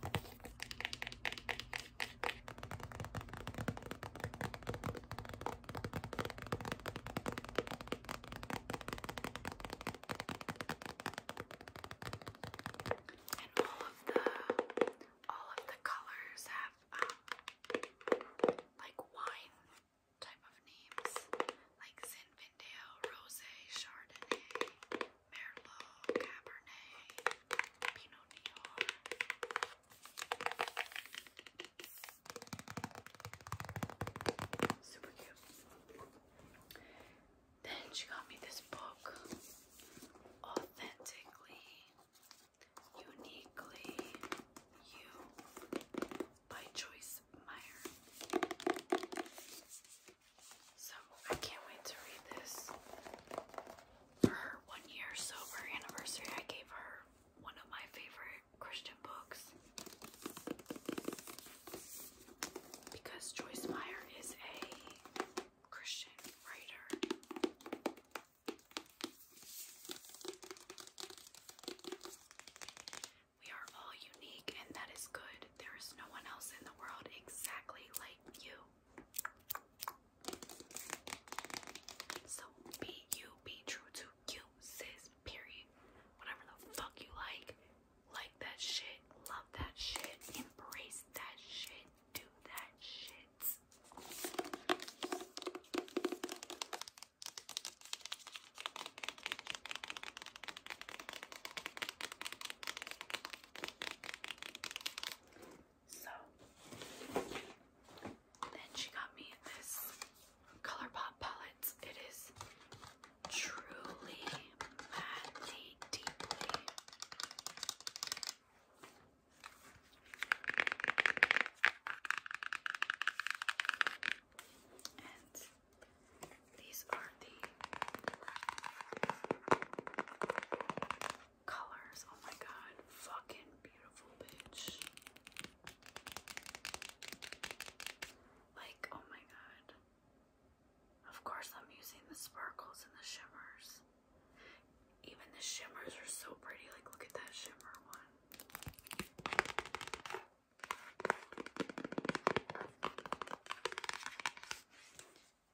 all of the all of the colors have um, like wine type of names like Zinfandel, Rosé, Chardonnay, Merlot, Cabernet, Pinot Noir. Super cute. Then she got me this book, Authentically Uniquely You by Joyce Meyer. So I can't wait to read this. For her one year sober anniversary, I gave her one of my favorite Christian books because Joyce Meyer is a Christian writer. We are all unique, and that is good. There is no one else in the world exactly like you. So be you, be true to you, sis, period. Whatever the fuck you like, like that shit, love that shit, embrace that shit, do that shit. So then she got me this ColourPop palette. It is truly madly deeply. And these are the colors. Oh my god, fucking beautiful, bitch. Like, oh my god. Of course, I'm using the sparkles and the shimmers. Even the shimmers are so pretty. Like, look at that shimmer one.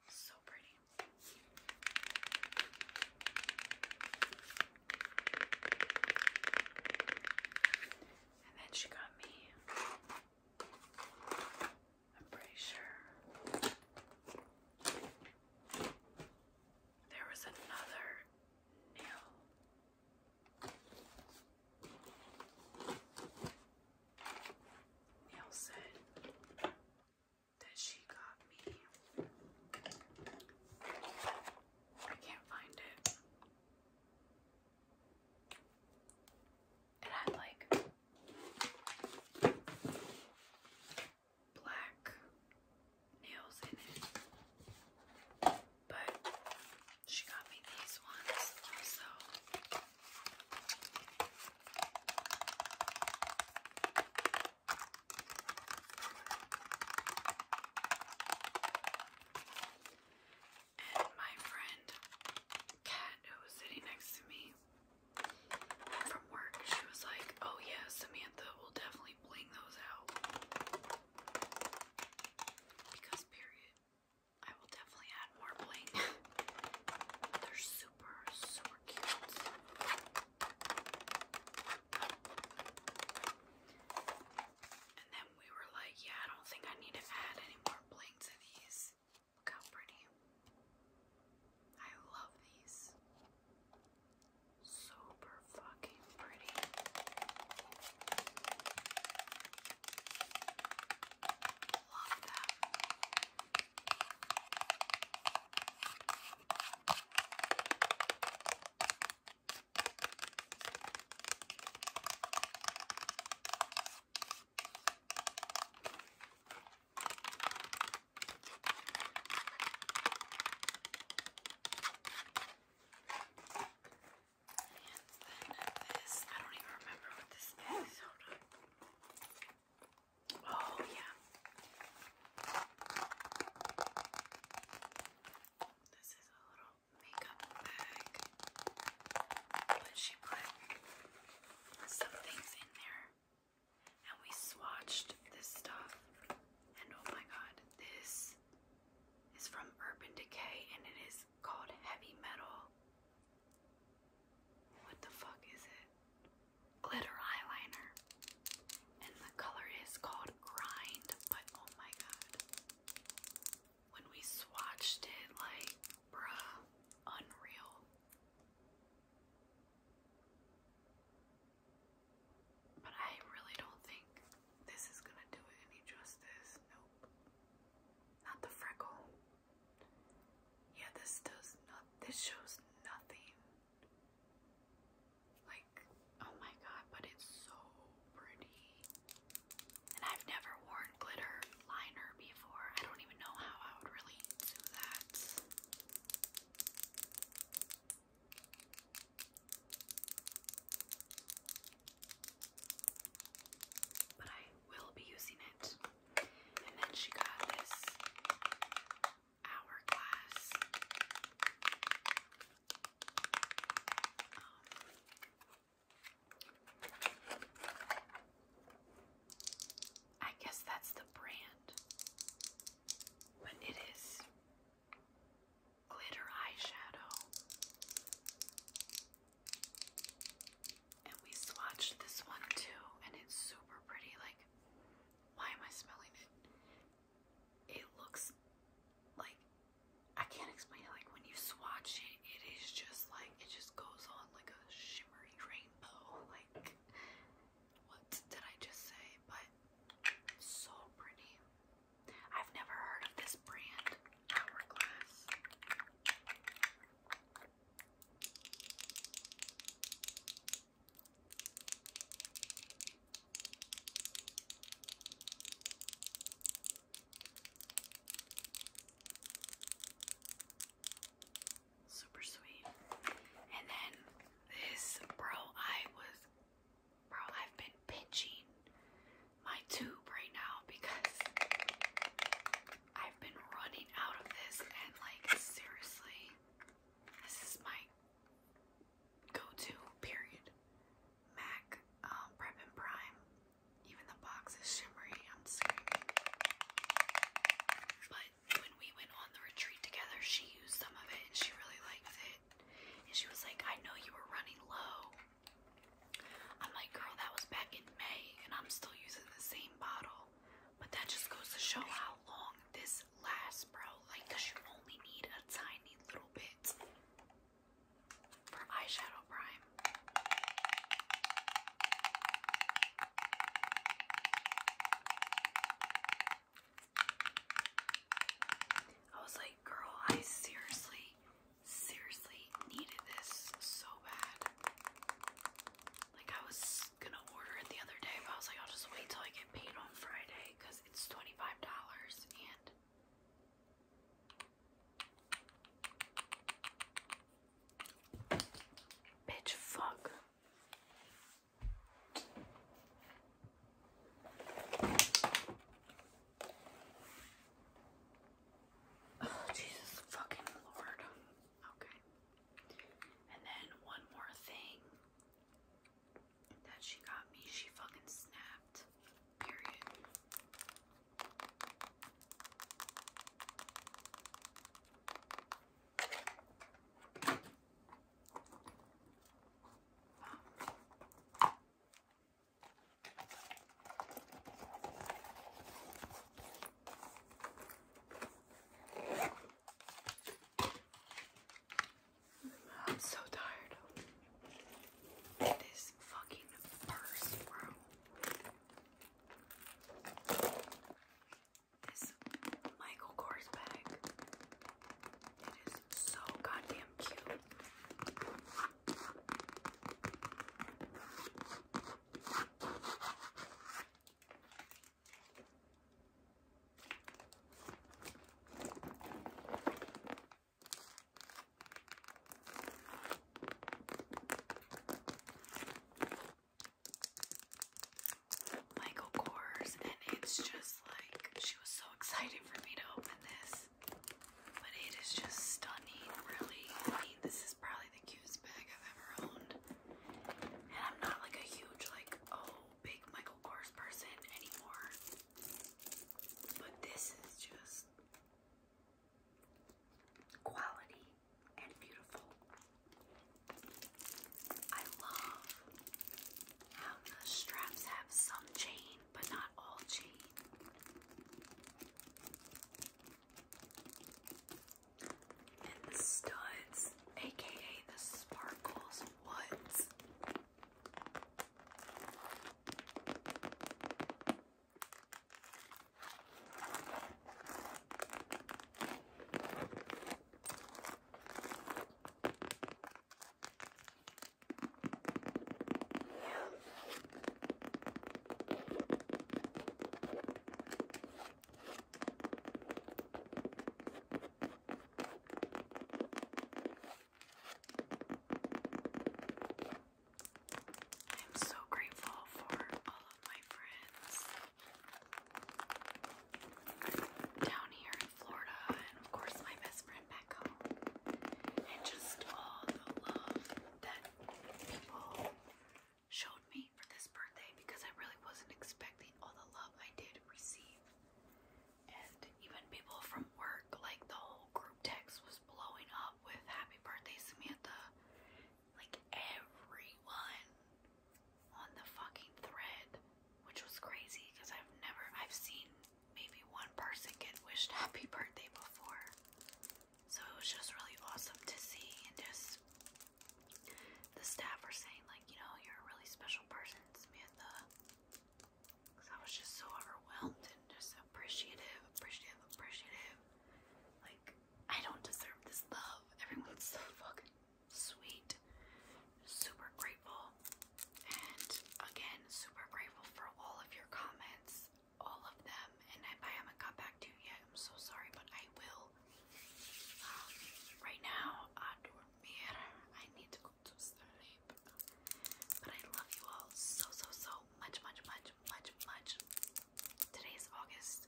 So pretty. And then she got me. I'm pretty sure there was another nail Neil said that she got me. I can't find it. It had like black nails in it. But she got me these ones also. And my friend Kat, who was sitting next to me from work, she was like, Oh, yeah, Samantha will definitely bling those out. Because period, I will definitely add more bling. They're super, super cute. And then we were like, yeah, I don't think I need to add any more bling to these. Look how pretty. I love these. Super fucking pretty. Love that. And Oh, yeah. This is a little makeup bag. But she put some things in there. And we swatched this stuff. And oh my god, this is from Urban Decay and it is called Heavy Metal. What the fuck is it? Glitter eyeliner. And the color is called Grind, but oh my god. When we swatched it, like, bruh, unreal. But I really don't think this is gonna do it any justice. Nope. Not the freckle. Yeah, this does not this shows nothing. Like, oh my god, but it's so pretty. And I've never worn glitter liner before. I don't even know how I would really do that. But I will be using it. And then she got this hourglass. Um, I guess that's the brand, but it is glitter eyeshadow. And we swatched this one too, and it's super pretty. Like, why am I smelling it? It looks like I can't explain Like, when you swatch it, it is just like it just goes on like a shimmery rainbow. Like, what did I just say? But so pretty. I've never heard of this brand, Hourglass. Super sweet. And then this, bro, I was Bro, I've been pinching my tube right now because I've been running out of this and like seriously, this is my go-to period. MAC um, Prep and Prime. Even the box is shimmery. I'm screaming. But when we went on the retreat together, she used some of it and she really liked it. And she was like, I know you were running low. I'm like, girl, that was back in May, and I'm still using the same bottle. But that just goes to show how long this lasts, bro. Like, you only need a tiny little bit for eyeshadow prime. I was like, girl, I seriously, seriously needed this so bad. Like, I was gonna order it the other day, but I was like, I'll just wait till I get paid on Friday because it's $25 and bitch fuck Jesus fucking Lord. Okay. And then one more thing that she got me, she fucking snapped. Period. I'm so tired. This fucking purse, bro. This Michael Kors bag it is so goddamn cute. Michael Kors, and it's just like she was so excited for me to open this. But it is just stunning, really. I mean, this is probably the cutest bag I've ever owned. And I'm not like a huge, like, oh, big Michael Kors person anymore. But this is just quality and beautiful. I love how the straps have some chain but not all chain. And the studs, aka the sparkles, what? I'm so grateful for all of my friends down here Florida, and of course my best friend back and just all the love that people showed me for this birthday because I really wasn't expecting all the love I did receive. And even people from work, like the whole group text was blowing up with happy birthday Samantha. Like everyone on the fucking thread, which was crazy because I've never, I've seen maybe one person get wished happy birthday before. So it was just really awesome to see and just the staff were saying like, you know, you're a really special person, Samantha. Cause I was just so overwhelmed and just appreciative, appreciative, appreciative. Like, I don't deserve this love. Everyone's so fucking sweet. Super grateful. And again, super grateful for all of your comments, all of them. And I haven't got back to you I'm so sorry, but I will. Um, right now, I I need to go to sleep. But I love you all so, so, so much, much, much, much, much. Today is August.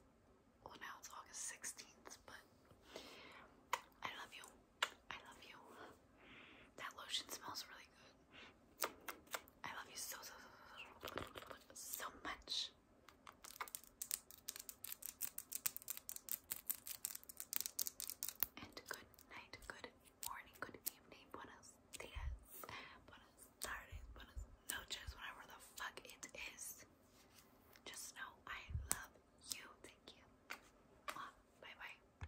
Well, now it's August 16th, but I love you. I love you. That lotion smells really good. I love you so, so, so, so, so much. And good night, good morning, good evening, buenos dias, buenos tardes, buenos noches, whatever the fuck it is. Just know I love you. Thank you. Bye bye.